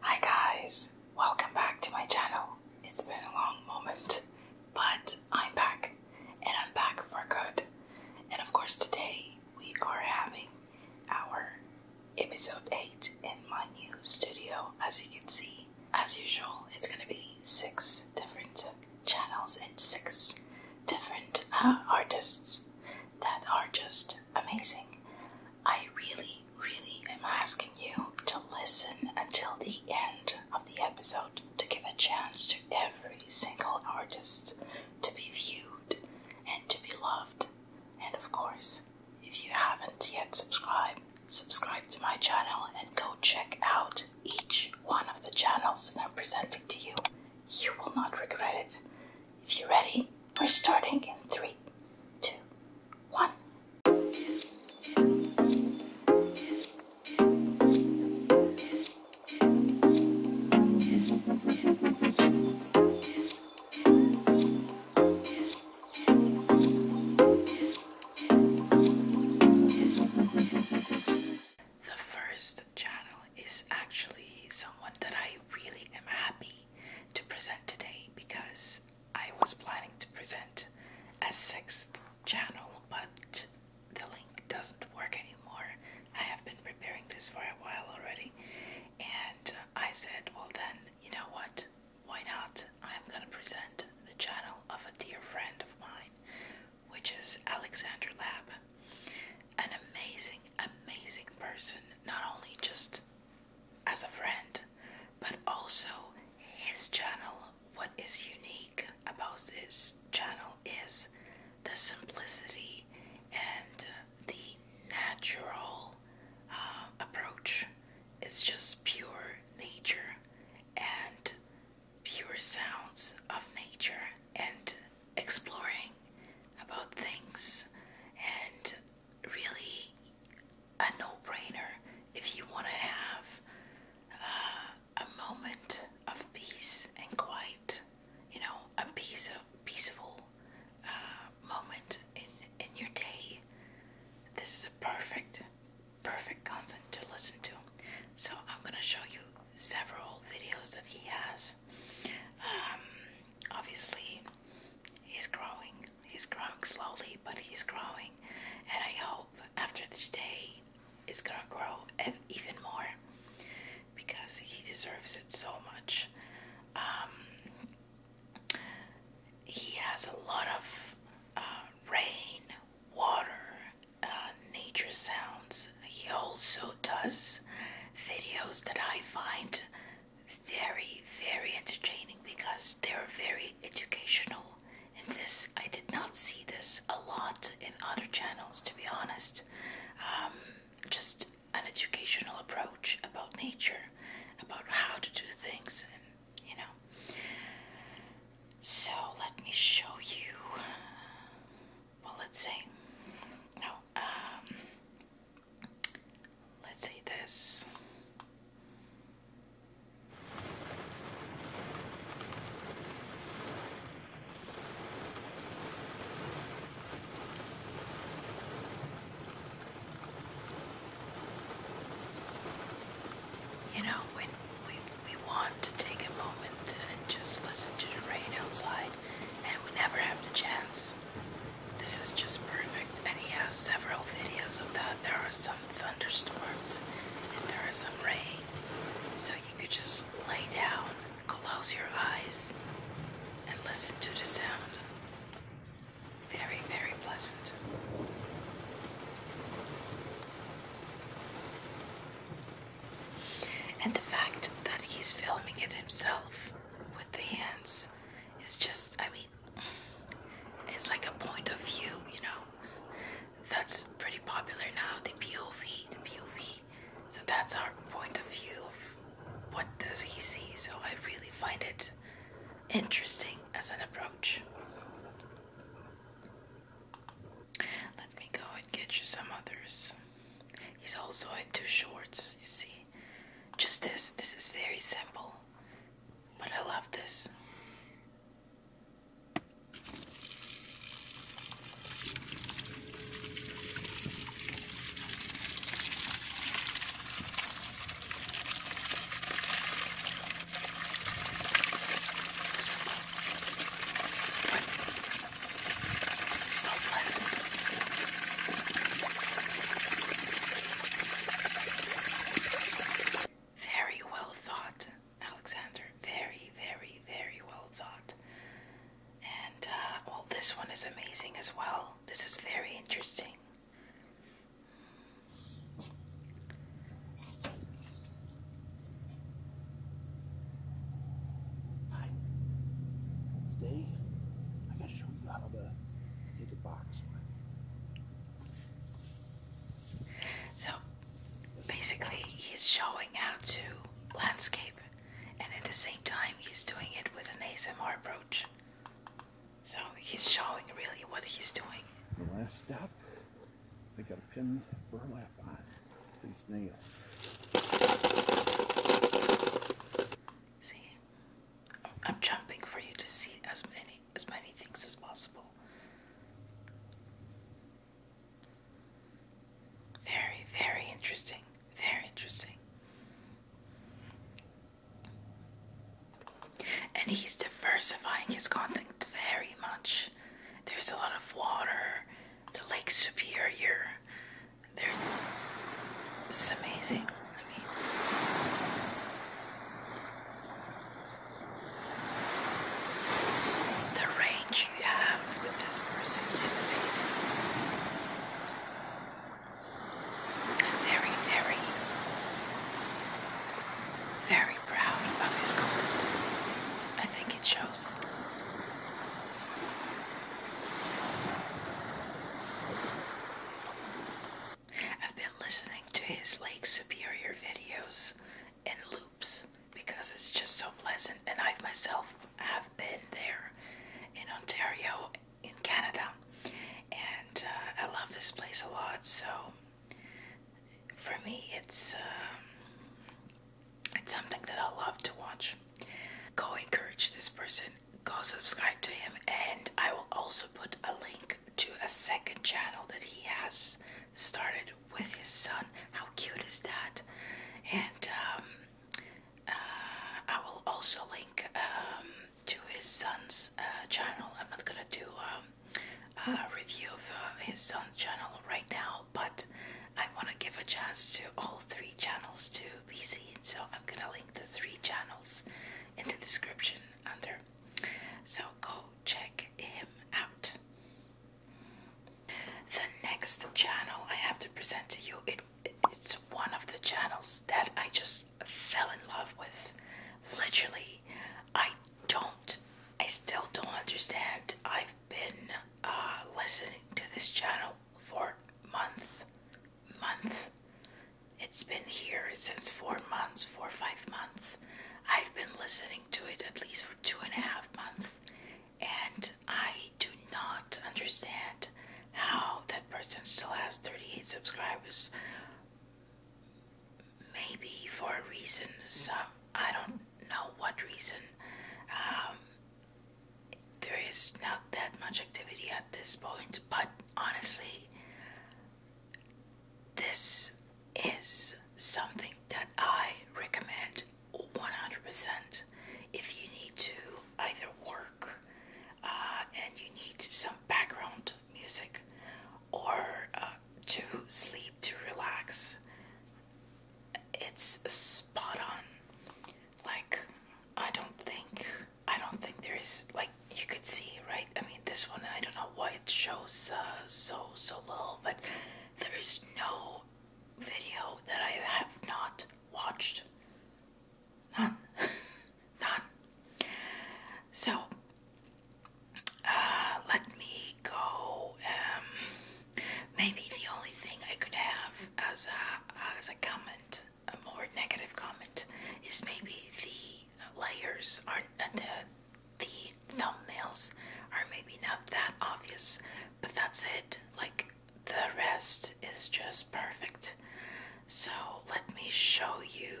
Hi guys, welcome back to my channel. It's been a long moment, but I'm back, and I'm back for good. And of course, today we are having our episode 8 in my new studio. As you can see, as usual, it's gonna be six different channels and six different uh, artists that are just amazing. I really, really am asking you to listen until the end of the episode to give a chance to every single artist to be viewed and to be loved. And of course, if you haven't yet subscribed, subscribe to my channel and go check out each one of the channels that I'm presenting to you. You will not regret it. If you're ready, we're starting in three, two, one. The first channel is actually someone that I really am happy to present today because I was planning to present a sixth channel, but the link doesn't work anymore. I have been preparing this for a while already, and I said, Well, then, you know what? Why not? I'm gonna present the channel of a dear friend of mine, which is Alexander Lab. An amazing, amazing person, not only just as a friend, but also his channel. What is unique about his channel is the simplicity and the natural uh, approach. It's just pure nature and pure sounds of nature and exploring about things and really a no-brainer if you want to have uh, a moment of peace and quiet. You know, a piece of peaceful uh, moment in in your day. This is a perfect, perfect content to listen to. So I'm gonna show you several videos that he has. Um, obviously, he's growing He's growing slowly, but he's growing. And I hope after today it's gonna grow even more because he deserves it so much. Um, he has a lot of uh, rain, water, uh, nature sounds. He also does videos that I find very, very entertaining because they're very educational. And this, I did not see this a lot in other channels, to be honest. Um, just an educational approach about nature, about how to do things, and you know. So let me show you. Well, let's say no. Um, Let's see this. You know, when we, we want to take a moment and just listen to the rain outside, and we never have the chance. This is just perfect, and he has several videos of that. There are some thunderstorms and there is some rain, so you could just lay down, close your eyes, and listen to the sound. Very, very pleasant. And the fact that he's filming it himself with the hands is just, I mean, it's like a point of view, you know. That's pretty popular now, the POV, the POV. So that's our point of view of what does he see. So I really find it interesting as an approach. Let me go and get you some others. He's also two shorts, you see. Just this, this is very simple. But I love this. So pleasant. Very well thought, Alexander. Very, very, very well thought. And, uh, well, this one is amazing as well. This is very interesting. Hi. Today, I'm going to show you how to make a box so basically, he's showing how to landscape, and at the same time, he's doing it with an ASMR approach. So he's showing really what he's doing. The last step, we gotta pin burlap on these nails. See, I'm jumping for you to see as many as many things as possible. Very, very interesting. Very interesting. And he's diversifying his content very much. There's a lot of water, the Lake Superior. There, it's amazing. I mean, the range you have with this person is amazing. I'm very, very, very proud of his content. I think it shows. I've been listening to his Lake Superior videos in loops because it's just so pleasant, and I myself have been there in Ontario, in Canada, and uh, I love this place a lot. So for me, it's um, it's something that I love to watch. Go encourage this person. Go subscribe to him, and I will also put a link to a second channel that he has started with his son. How cute is that? And um, uh, I will also link um, to his son's uh, channel. I'm not gonna do um, a review of uh, his son's channel right now, but I want to give a chance to all three channels to be seen. So I'm gonna link the three channels in the description under so go check him out. The next channel I have to present to you, it, it's one of the channels that I just fell in love with. Literally, I don't, I still don't understand. I've been uh, listening to this channel for month, month. It's been here since four months, four, five months. I've been listening to it at least for two and a half months, and I do not understand how that person still has 38 subscribers. Maybe for a reason, some I don't know what reason. Um, there is not that much activity at this point, but honestly, this is something that I recommend 100%. If you need to either work uh, and you need some background music or uh, to sleep, to relax, it's spot on. Like, I don't think, I don't think there is like you could see, right? I mean, this one, I don't know why it shows uh, so, so little, but there is no video that I have not watched. None. None. So, uh, let me go. Um, maybe the only thing I could have as a, as a comment, a more negative comment, is maybe the layers aren't, uh, the the thumbnails are maybe not that obvious, but that's it. Like the rest is just perfect. So let me show you.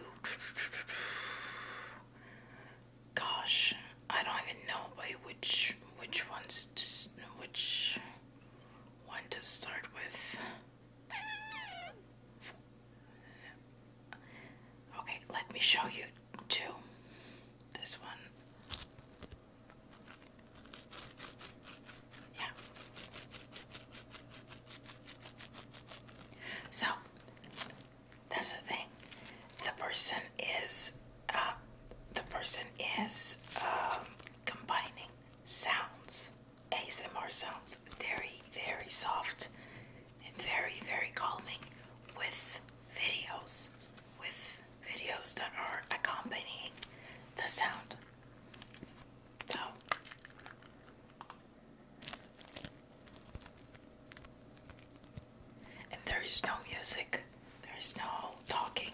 Gosh, I don't even know which which ones which one to start with. Okay, let me show you two. This one. Yeah. So, that's the thing. The person is, uh, the person is um, combining sounds, ASMR sounds, very, very soft and very, very calming with videos, with videos that are accompanying the sound. So, there is no music, there is no talking.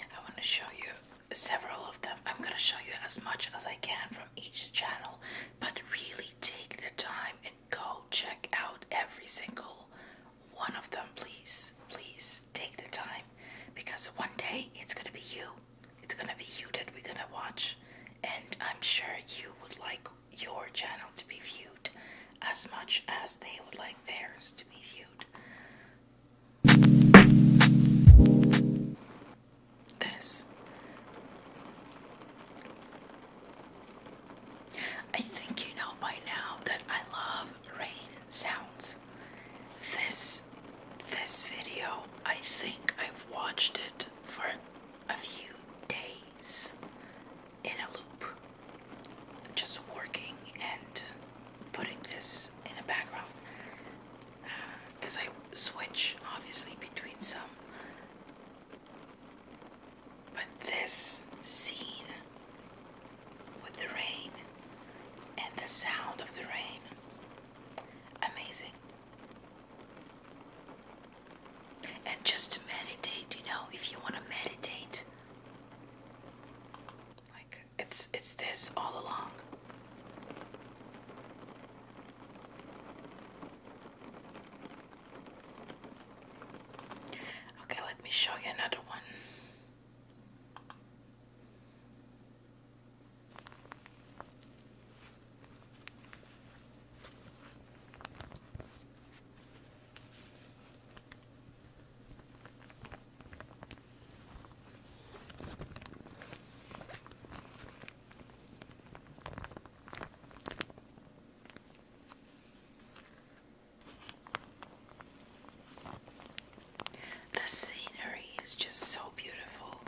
I want to show you several of them. I'm going to show you as much as I can from each channel, but really take the time and go check out every single one of them, please. Please take the time because one day it's going to be you. It's going to be you that we're going to watch, and I'm sure you would like your channel to be viewed as much as they would like theirs to be viewed. This. I think you know by now that I love rain sounds. This this video, I think I've watched it for a few days in a loop, just working and putting this in a background because uh, I switch obviously between some. But this scene with the rain and the sound of the rain, amazing. And just to meditate, you know, if you want to meditate like it's it's this all along. Okay, let me show you another one. The scenery is just so beautiful.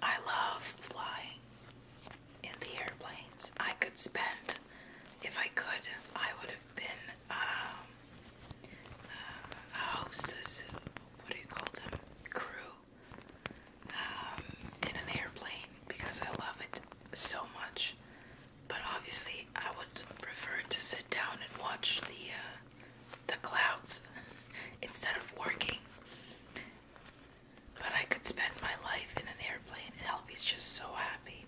I love flying in the airplanes. I could spend if I could, I would have been um, uh, a hostess. What do you call them? Crew um, in an airplane because I love it so much. But obviously, I would prefer to sit down and watch the uh, the clouds instead of working. But I could spend my life in an airplane, and I'll be just so happy.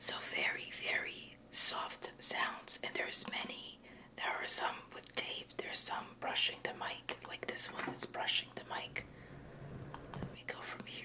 So very, very soft sounds, and there's many. There are some with tape, there's some brushing the mic, like this one that's brushing the mic. Let me go from here.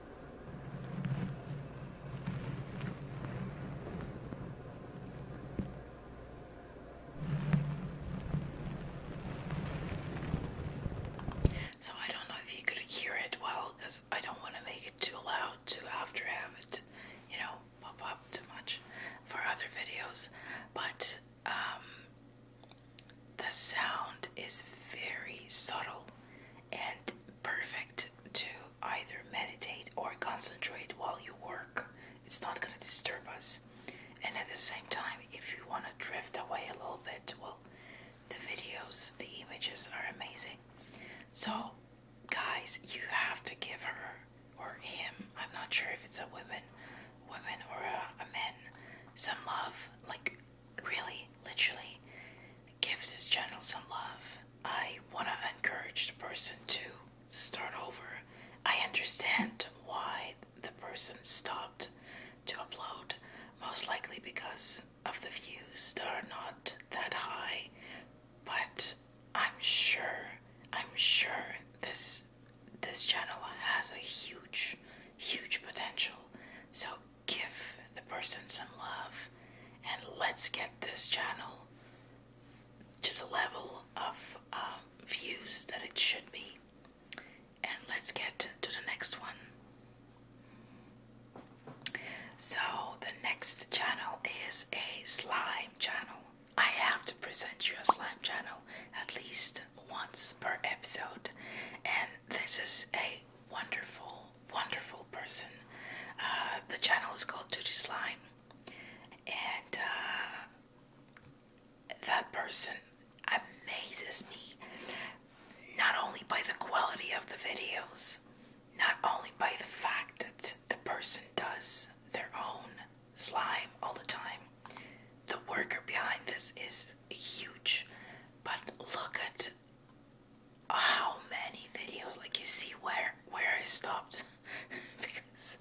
So I don't know if you could hear it well because I don't want to make it too loud to after have it, you know, pop up too much for other videos. But um, the sound is very subtle and perfect to either meditate or concentrate while you work. It's not going to disturb us. And at the same time, if you want to drift away a little bit, well, the videos, the images are amazing. So, guys, you have to give her or him, I'm not sure if it's a woman, woman or a, a man, some love. Like, really, literally, give this channel some love. I want to encourage the person to start over. I understand why the person stopped to upload, most likely because of the views that are not that high, but I'm sure, I'm sure this this channel has a huge, huge potential. So give the person some love and let's get this channel to the level of um, views that it should be. And let's get to the next one. So, the next channel is a slime channel. I have to present you a slime channel at least once per episode, and this is a wonderful wonderful person. Uh, the channel is called Duty Slime, and uh, that person amazes me not only by the quality of the videos, not only by the fact that the person does their own slime all the time. The worker behind this is huge, but look at how many videos like you see where where I stopped because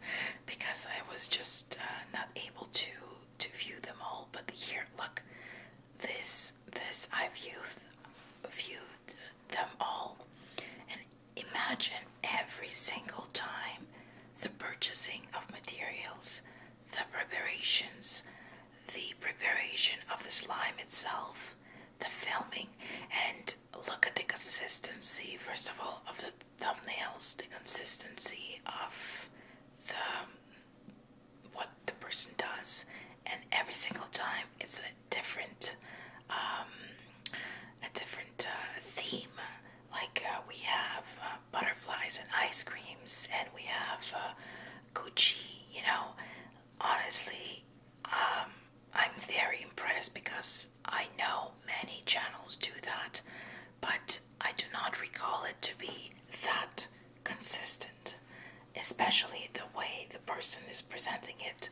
because I was just uh, not able to to view them all but here look this this I viewed viewed them all and imagine every single time the purchasing of materials the preparations the preparation of the slime itself the filming and look at the consistency first of all of the thumbnails the consistency of the what the person does and every single time it's a different um, a different uh, theme like uh, we have uh, butterflies and ice creams and we have Gucci you know honestly um, I'm very impressed because I know many channels do that, but I do not recall it to be that consistent, especially the way the person is presenting it.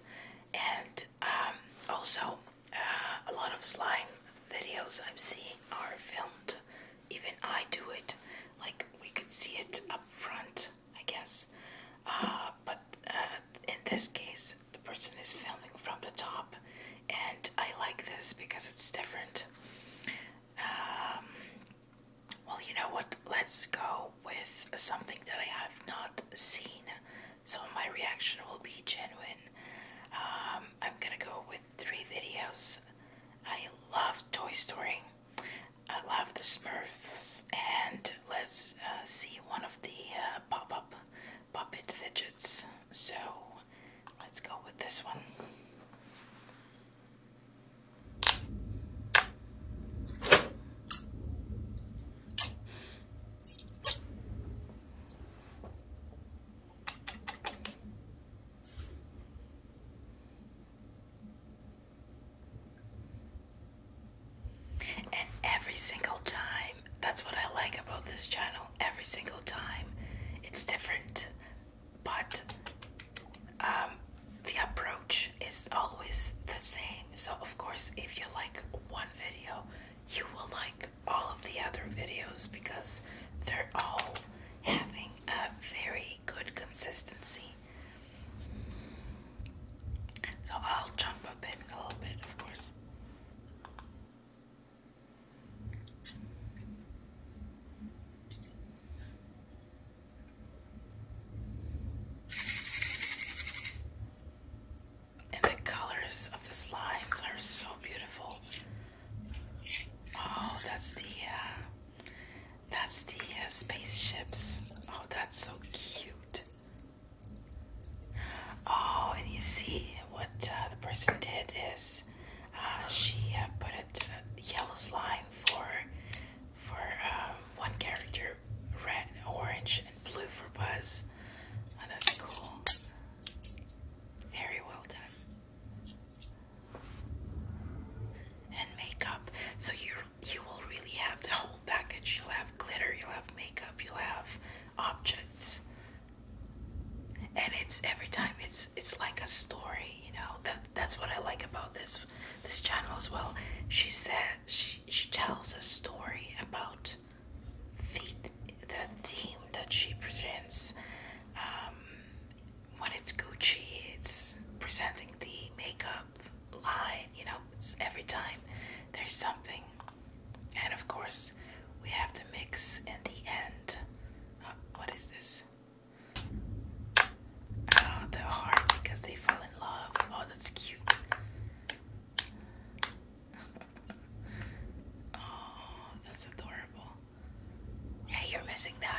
And um, also, uh, a lot of slime videos I'm seeing are filmed, even I do it, like we could see it up front I guess. Uh, but uh, in this case, the person is filming from the top, and I like this because it's different. Um, well, you know what? Let's go with something that I have not seen, so my reaction will be genuine. Um, I'm gonna go with three videos. I love Toy Story. I love the Smurfs and let let's uh, see one of the uh, pop-up puppet fidgets. So, let's go with this one. And every single time, that's what I like about this channel. Every single time, it's different, but um, the approach is always the same. So, of course, if you like one video, you will like all of the other videos because they're all having a very good consistency. So I'll jump a bit, a little bit, of course. And the colors of the slimes are so beautiful. Oh, that's the uh, that's the uh, spaceships. Oh, that's so cute. Oh, and you see what uh, the person did is uh, she uh, put a yellow line for for one character, red, orange, and blue for Buzz. Oh, that's cool. Very well done. And makeup, so you you will really have the whole package. You'll have glitter, you'll have makeup, you'll have objects. And it's every time it's it's like a story, you know. That that's what I like about this this channel as well. She said she she tells a story about the the theme that she presents. Um, when it's Gucci, it's presenting the makeup line. You know, it's every time there's something. And of course, we have to mix in the end. Uh, what is this? Ah, the heart because they fell in love. Oh, that's cute. oh, that's adorable. Hey, you're missing the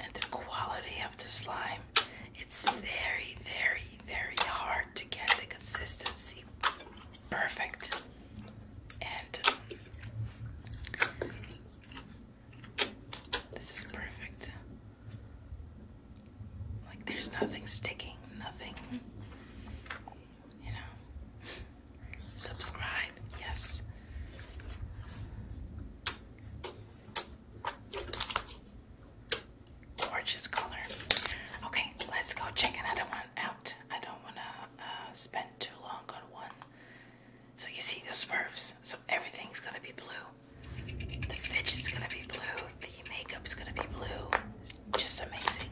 And the quality of the slime, it's very, very, very hard to get the consistency perfect. And this is perfect. Like there's nothing sticking, nothing, you know. Subscribe, yes. Gorgeous color. Okay, let's go check another one out. I don't want to uh, spend too long on one. So you see the Smurfs. So everything's gonna be blue. The fidget's gonna be blue. The makeup's gonna be blue. just amazing.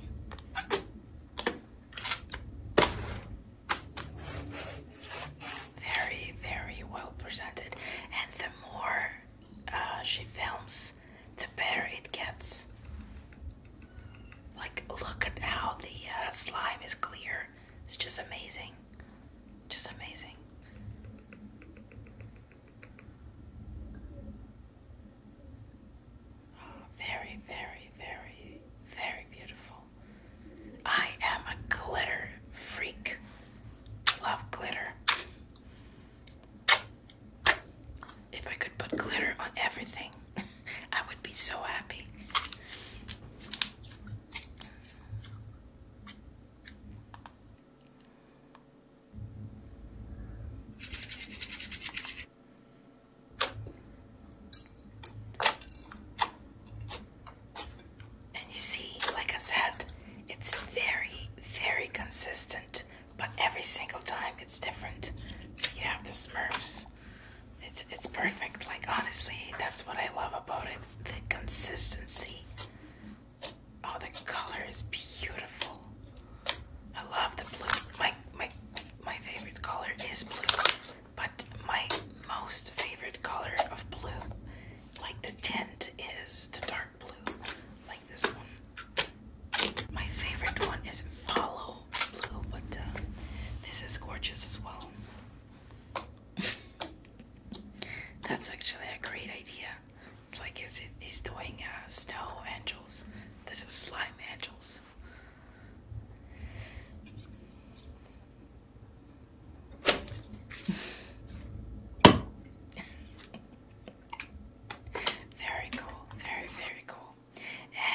Very, very well presented, and the more uh, she films, the better it gets. Like, look at how the uh, slime is clear. It's just amazing. Just amazing. Oh, very, very, very, very beautiful. I am a glitter freak. Love glitter. If I could put glitter on everything, I would be so happy. And you see, like I said, it's very, very consistent, but every single time it's different. So you have the Smurfs. It's it's perfect. Like honestly, that's what I love about it. The consistency. Oh, the color is beautiful. I love the blue. My my my favorite color is blue. But my most favorite color of blue, like the tint, is the dark blue, like this one. My favorite one is Follow Blue, but uh, this is gorgeous as well. That's actually a great idea. It's like he's he's doing uh, snow angels. This is slime angels. very cool, very, very cool.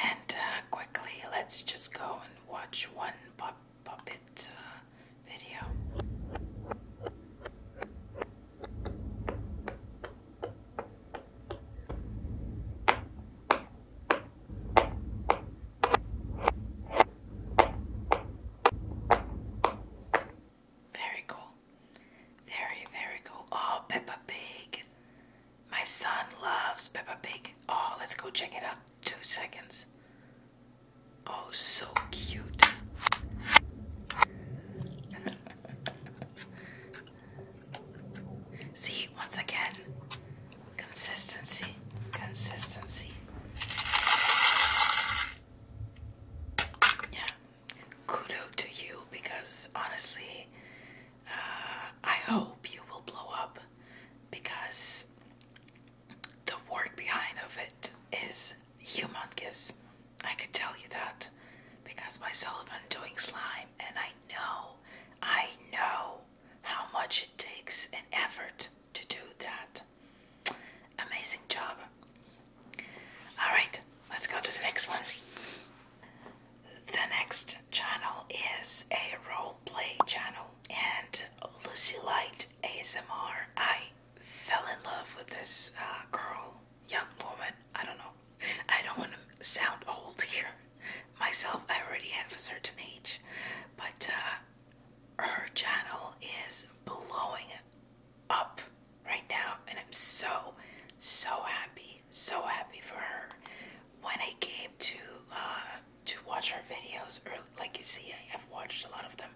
And uh, quickly, let's just go and watch one pop puppet uh, video. Very cool. Very, very cool. Oh, Peppa Pig. My son loves Peppa Pig. Oh, let's go check it out. Two seconds. Oh, so cute. See, once again, Consistency, consistency. Yeah, kudo to you because honestly, uh, I hope you will blow up because the work behind of it is humongous. I could tell you that because myself I'm doing slime and I know, I know how much it takes and effort to do that. Amazing job. Alright, let's go to the next one. The next channel is a role play channel and Lucy Light ASMR. I fell in love with this uh, girl, young woman. I don't know. I don't want to sound old here. Myself, I already have a certain age, but uh, her channel is blowing up right now, and I'm so, so happy, so happy for her. When I came to uh, to watch her videos, or like you see, I, have watched a lot of them.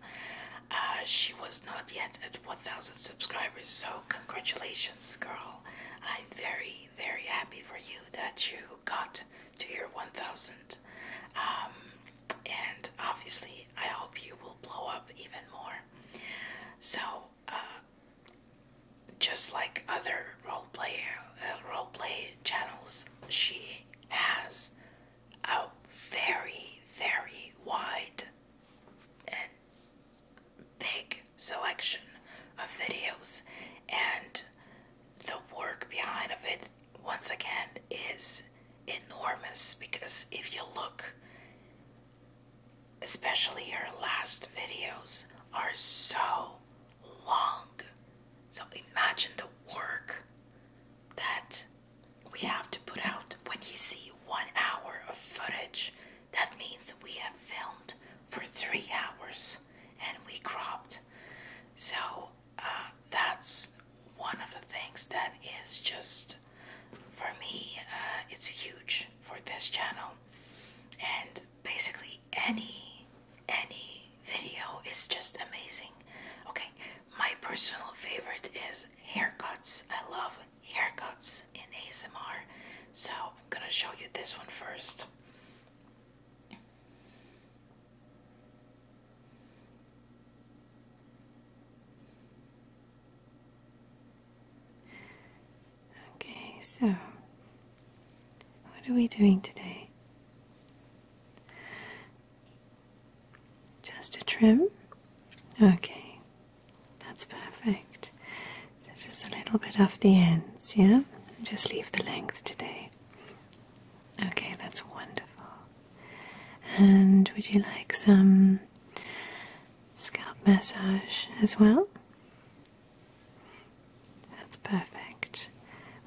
Uh, she was not yet at 1,000 subscribers, so congratulations, girl. I'm very, very happy for you that you got to your 1,000 um, and obviously, I hope you will blow up even more. So, uh, just like other role play uh, channels, she has a very very wide and big selection of videos and the work behind of it once again is enormous because if you look especially her last videos are so long so imagine the work that we have to put out when you see one hour of footage that means we have filmed for three hours and we cropped so that's one of the things that is just for me uh, it's huge for this channel and basically any any video is just amazing okay my personal favorite is haircuts i love haircuts in asmr so i'm gonna show you this one first Okay, so what are we doing today? Just a trim? Okay, that's perfect. just a little bit off the ends, yeah? Just leave the length today. Okay, that's wonderful. And would you like some scalp massage as well? That's perfect.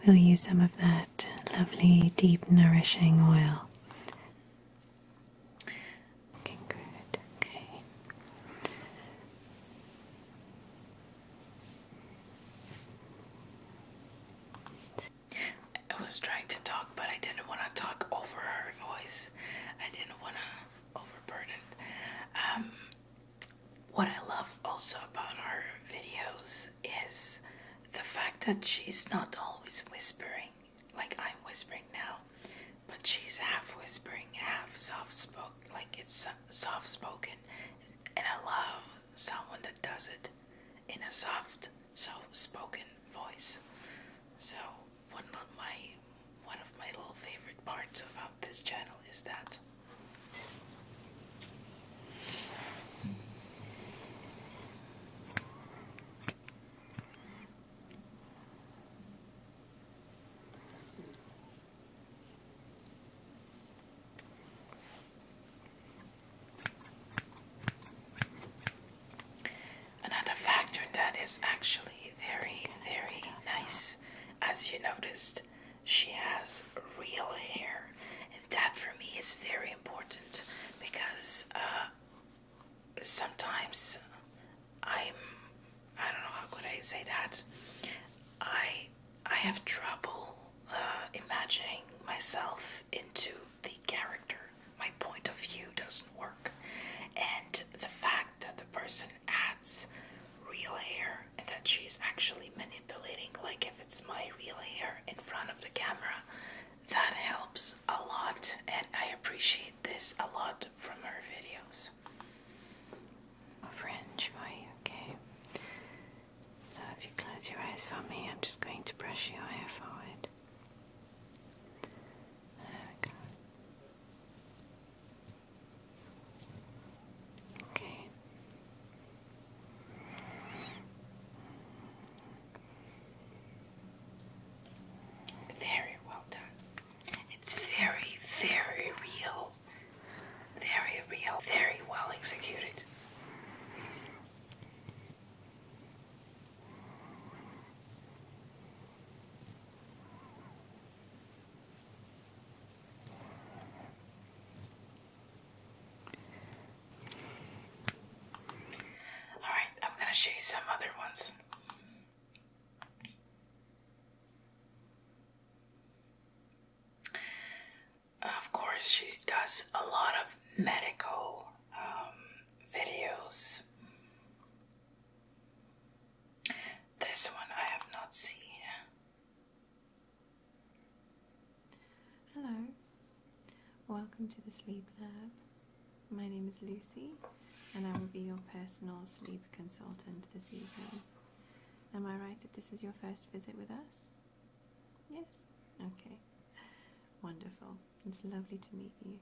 We'll use some of that lovely, deep, nourishing oil. Looking good, okay. I was trying to talk, but I didn't want to talk over her voice. I didn't want to overburden. Um, what I love also about her videos is the fact that she's not always whispering like I'm whispering now, but she's half whispering, half soft spoken. Like it's soft spoken, and I love someone that does it in a soft, soft spoken voice. So one of my one of my little favorite parts about this channel is that. Another factor that is actually very, very nice, as you noticed, she has real hair, and that for me is very important because uh, sometimes I'm I don't know how could I say that I I have trouble uh, imagining myself into the character. My point of view doesn't work. And the fact that the person adds real hair and that she's actually manipulating, like if it's my real hair in front of the camera, that helps a lot. And I appreciate this a lot from her videos. Fringe, Okay. So if you close your eyes for me, I'm just going to brush your hair forward. There we go. Okay. Very well done. It's very, very real. Very real. Very well executed. All right, I'm going to show you some other ones of course, she does a lot of medical um, videos. This one I have not seen. Hello, welcome to the Sleep Lab. My name is Lucy, and I will be your personal sleep consultant this evening. Am I right that this is your first visit with us? Yes? Okay. Wonderful. It's lovely to meet you.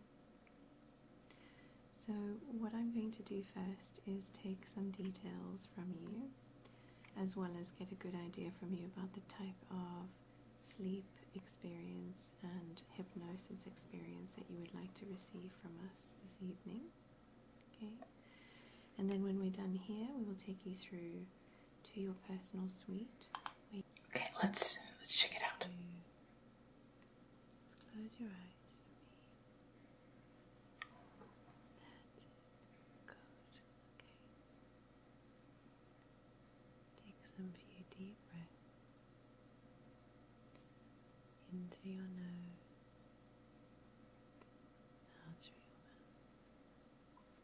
So, what I'm going to do first is take some details from you, as well as get a good idea from you about the type of sleep experience and hypnosis experience that you would like to receive from us this evening. Okay? And then when we're done here, we will take you through to your personal suite. Okay, let's let's check it out. close your eyes That's it. Good. Okay. Take some few deep breaths in your nose. Out your mouth.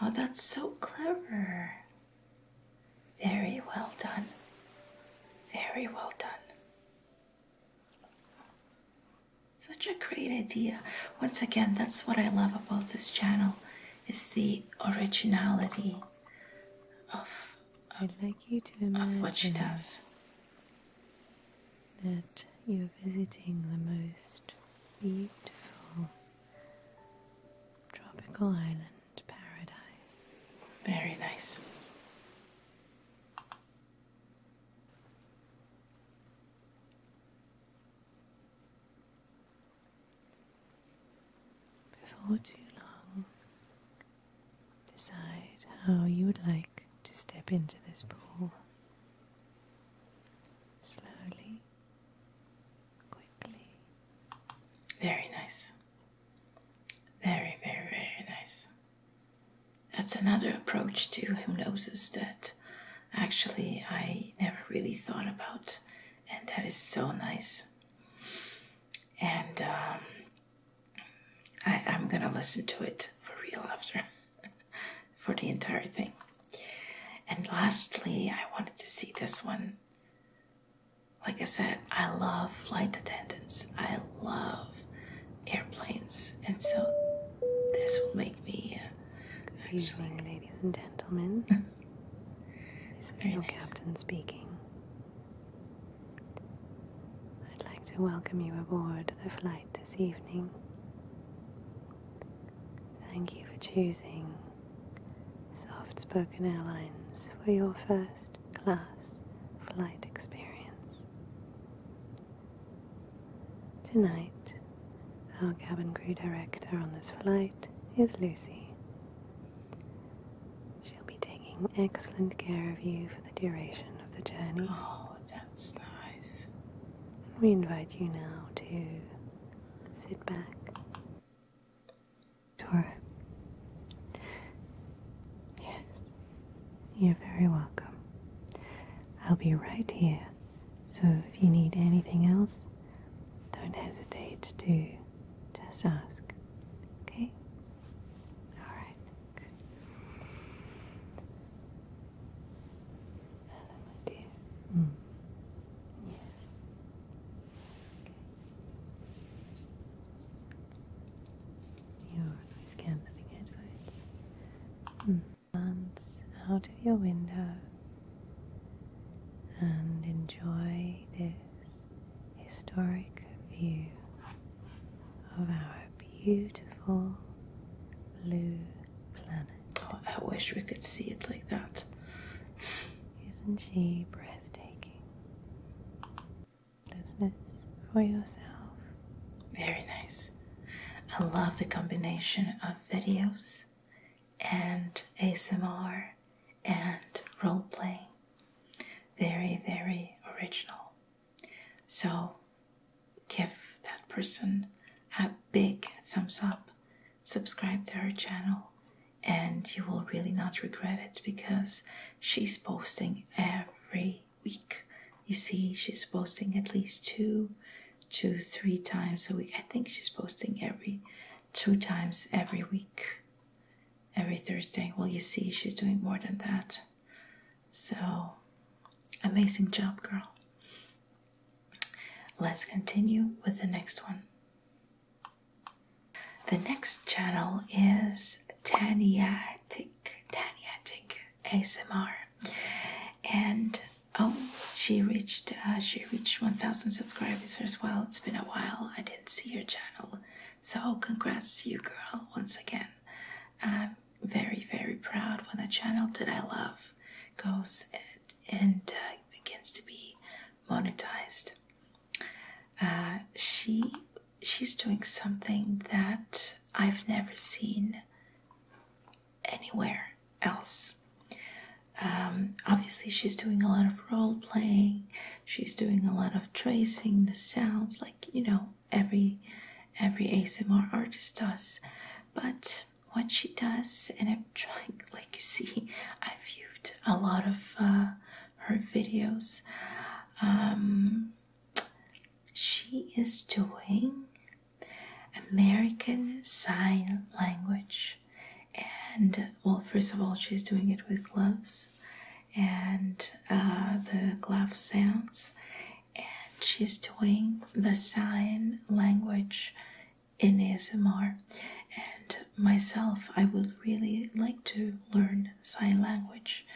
Oh, that's so clever. Very well done. Very well done. Such a great idea. Once again, that's what I love about this channel is the originality of, of what she does that you're visiting the most beautiful tropical island paradise. Very nice. Before too long, decide how you would like to step into this pool slowly, quickly. Very nice. Very, very, very nice. That's another approach to hypnosis that actually I never really thought about, and that is so nice. And um, I'm gonna listen to it for real after for the entire thing. And lastly, I wanted to see this one. Like I said, I love flight attendants. I love airplanes. And so this will make me. Uh, ladies and gentlemen. this video nice. captain speaking. I'd like to welcome you aboard the flight this evening. Thank you for choosing Soft Spoken Airlines for your first class flight experience. Tonight, our cabin crew director on this flight is Lucy. She'll be taking excellent care of you for the duration of the journey. Oh, that's nice. We invite you now to sit back. Sure. Yes, you're very welcome. I'll be right here, so if you need anything else, don't hesitate to just ask. Okay? Alright, Hello, my dear. Mm. Okay. You're headphones. Mm. out of your window and enjoy this historic view of our beautiful blue planet. Oh, I wish we could see it like that. Isn't she breathtaking? Listen for yourself. Very nice. I love the combination of videos and ASMR and role playing. Very, very original. So give that person a big thumbs up, subscribe to her channel, and you will really not regret it because she's posting every week. You see, she's posting at least two two, three times a week. I think she's posting every two times every week, every Thursday. Well, you see, she's doing more than that. So, amazing job, girl. Let's continue with the next one. The next channel is Taniatic, Taniatic ASMR, and oh, she reached uh, she reached 1,000 subscribers as well. It's been a while. I didn't see your channel, so congrats to you, girl, once again. Um, very, very proud when a channel that I love goes and, uh, begins to be monetized. Uh, she she's doing something that I've never seen anywhere else. Um, obviously, she's doing a lot of role playing. She's doing a lot of tracing the sounds, like you know every every ASMR artist does. But what she does, and I'm trying, like you see, I viewed a lot of uh, her videos. Um, she is doing American Sign Language, and well, first of all, she's doing it with gloves and uh, the glove sounds, and she's doing the sign language in ASMR. And myself, I would really like to learn sign language,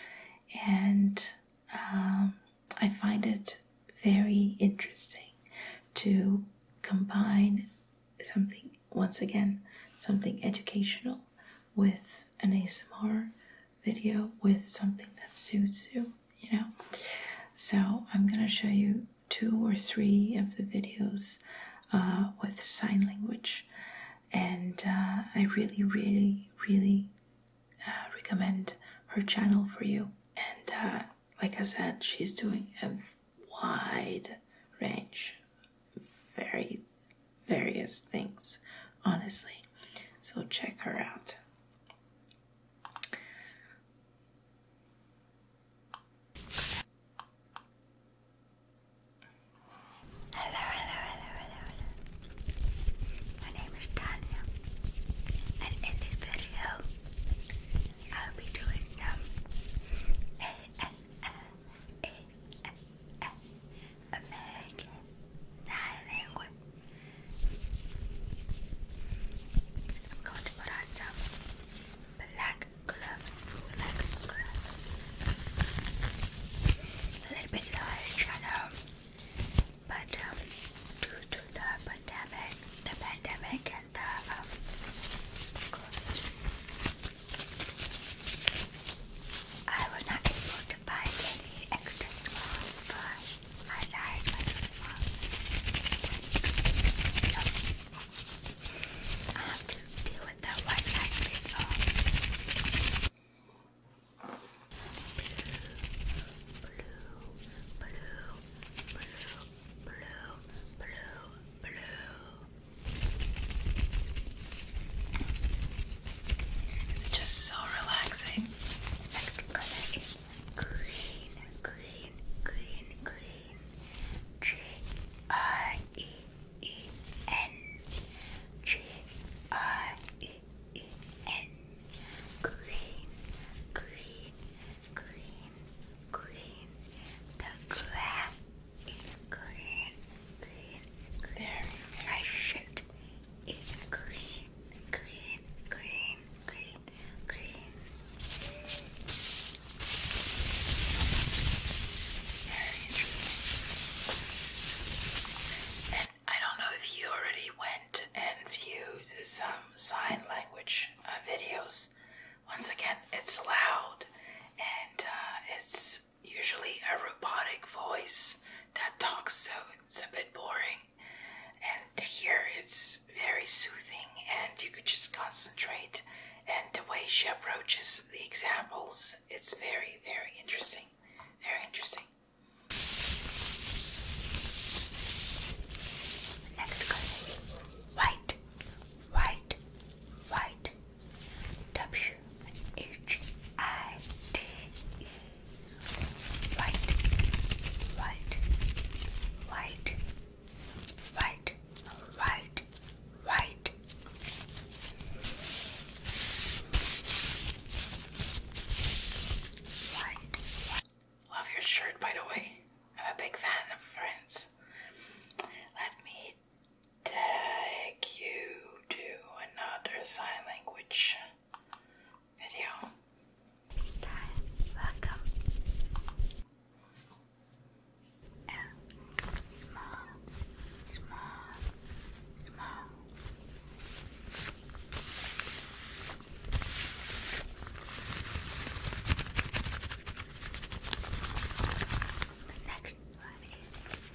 and um, I find it very interesting to combine something once again something educational with an ASMR video with something that suits you you know. So I'm going to show you two or three of the videos uh, with sign language, and uh, I really, really, really uh, recommend her channel for you. And like I said, she's doing a wide range, very various things, honestly. So check her out. Hello, hello, hello, hello, My name is Tanya, and in this video, I'll be doing some American Sign Language I'm going to put on some black gloves, a little bit large, I know, but um, due to the pandemic, the pandemic and the um, I was not able to buy any extra small, but I have to deal with that white light blue, blue, blue, blue, blue, blue, blue. It's just so relaxing green, green, green, green. G R E E N. G R E E N. Green, green, green, green. The grass is green, green, green. I should eat green, green, green, green. And I don't know if you already went and viewed some um, sign language uh, videos. Once again, it's loud and uh, it's usually a robotic voice that talks, so it's a bit boring. And here it's very soothing, and you could just concentrate. And the way she approaches the examples, it's very, very interesting. Very interesting. white, white, white. W H I T E. White, white, white right, right, right. Right. Love your shirt, by the way. I'm a big fan of Friends. Let me take you to another sign language video welcome. And small, small, small. The next one is.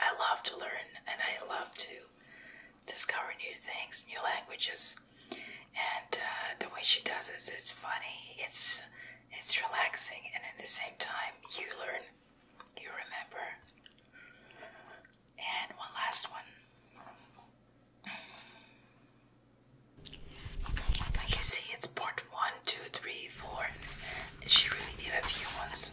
I love to learn and I love to discover new things, new languages. And uh, the way she does it is funny, it's it's relaxing, and at the same time you learn, you remember. And one last one. Like you see, it's part one, two, three, four. She really did a few ones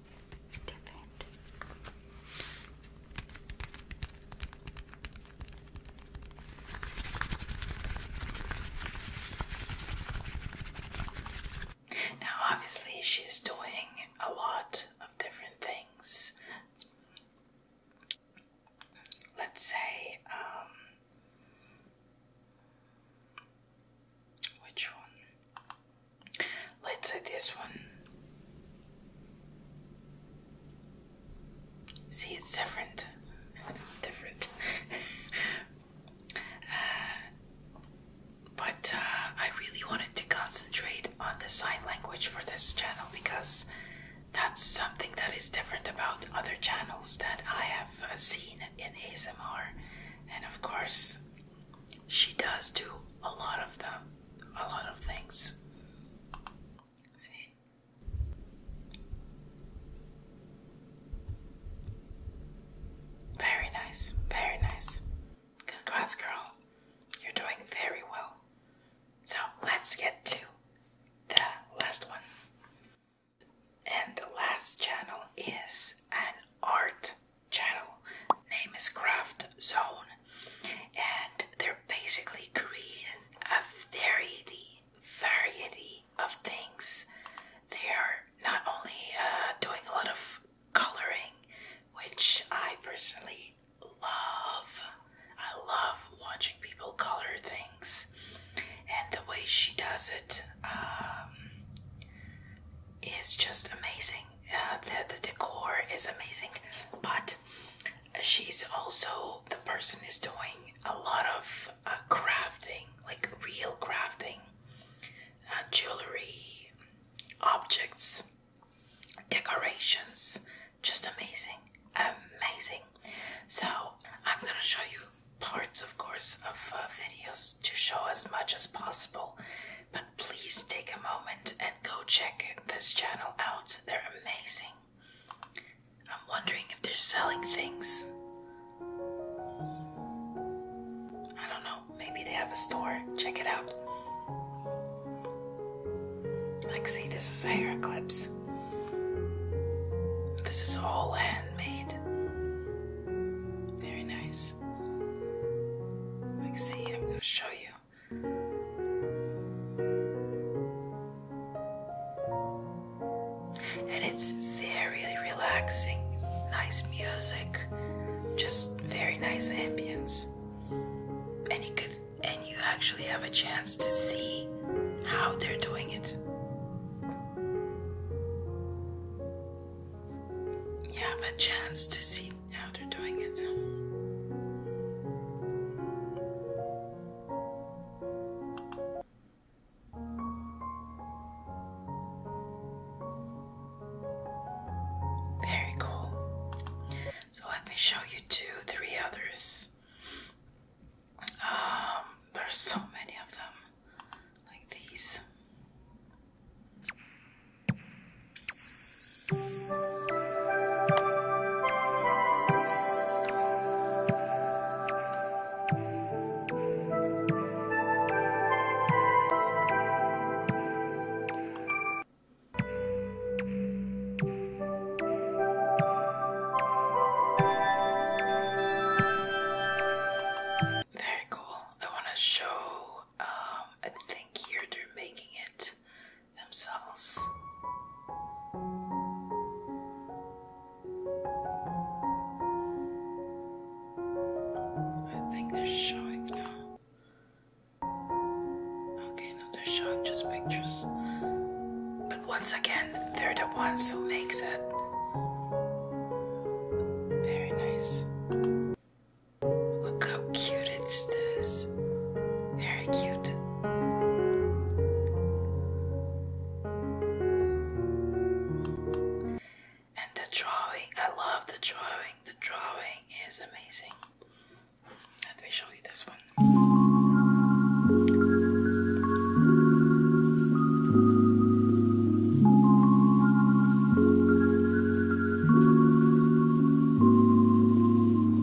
Now, obviously, she's doing a lot of different things. Let's say, um, which one? Let's say this one. See, it's different. different. Uh, but uh, I really wanted to concentrate on the sign language for this channel because that's something that is different about other channels that I have uh, seen in ASMR. And of course, she does do a lot of them a lot of things. See? Very nice, very nice. Congrats, girl. You're doing very well. So let's get to the last one. And the last channel is an art channel. Name is Craft Zone and they're basically creating a variety, variety of things. They are not only uh, doing a lot of coloring, which I personally love. I love watching people color things, and the way she does it um, is just amazing. Uh, the, the decor is amazing, but she's also the person is doing a lot of uh, crafting, like real crafting, uh, jewelry, objects, decorations. Just amazing, amazing. So I'm gonna show you parts, of course, of uh, videos to show as much as possible, but please take a moment and go check this channel out. They're amazing. I'm wondering if they're selling things. I don't know, maybe they have a store. Check it out. Like, see, this is hair clips. This is all handmade. Very nice. Like, see, I'm gonna show you. And it's very relaxing, nice music, just very nice ambience. And you could and you actually have a chance to see how they're doing it. You have a chance to see how they're doing it. Very cool. So let me show you two, three others. Um, there's so many of them, like these. Very cool. I want to show, um, I think here they're making it themselves. I think they're showing now. Okay, no, they're showing just pictures. But once again, they're the ones who makes it. Very nice. Look how cute it's this very cute. And the drawing, I love the drawing. The drawing is amazing. Let me show you this one.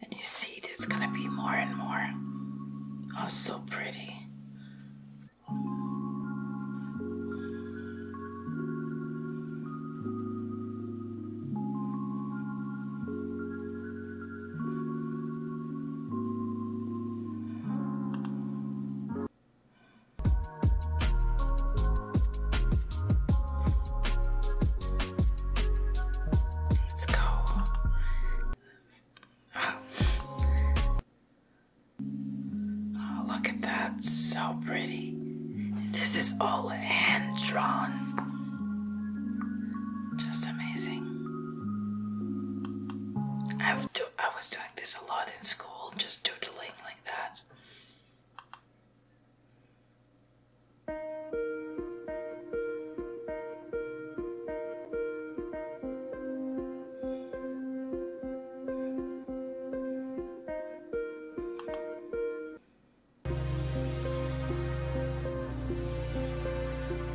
And you see, there's gonna be more and more. Oh, so pretty. Let's go. Oh. oh, look at that. So pretty. This is all hand drawn. Just amazing i was doing this a lot in school, just doodling like that.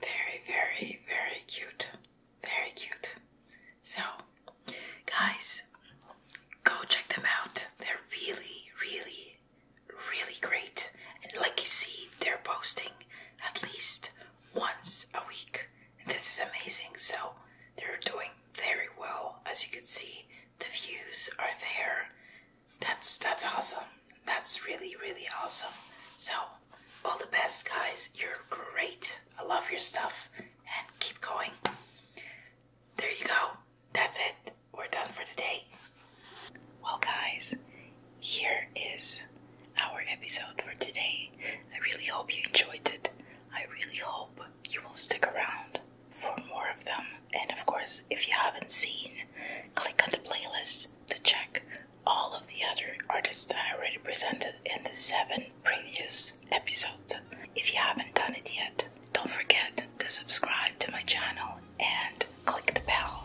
Very, very, very cute. Very cute. So, guys, go check them out. They're really, really, really great. And like you see, they're posting at least once a week. And this is amazing. So they're doing very well. As you can see, the views are there. That's that's awesome. That's really really awesome. So all the best guys. You're great. I love your stuff and keep going. There you go. That's it. We're done for today. Well guys, here is our episode for today. I really hope you enjoyed it. I really hope you will stick around for more of them. And of course, if you haven't seen, click on the playlist to check all of the other artists I already presented in the seven previous episodes. If you haven't done it yet, don't forget to subscribe to my channel and click the bell.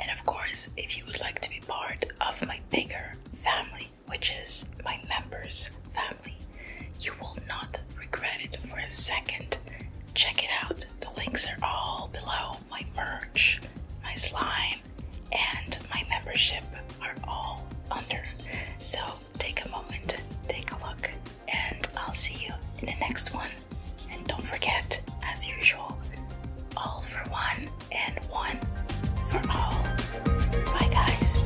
And of course, if you would like to be part of my bigger family, which is my members' family. You will not regret it for a second. Check it out. The links are all below. My merch, my slime, and my membership are all under. So take a moment, take a look, and I'll see you in the next one. And don't forget, as usual, all for one and one for all. Bye, guys.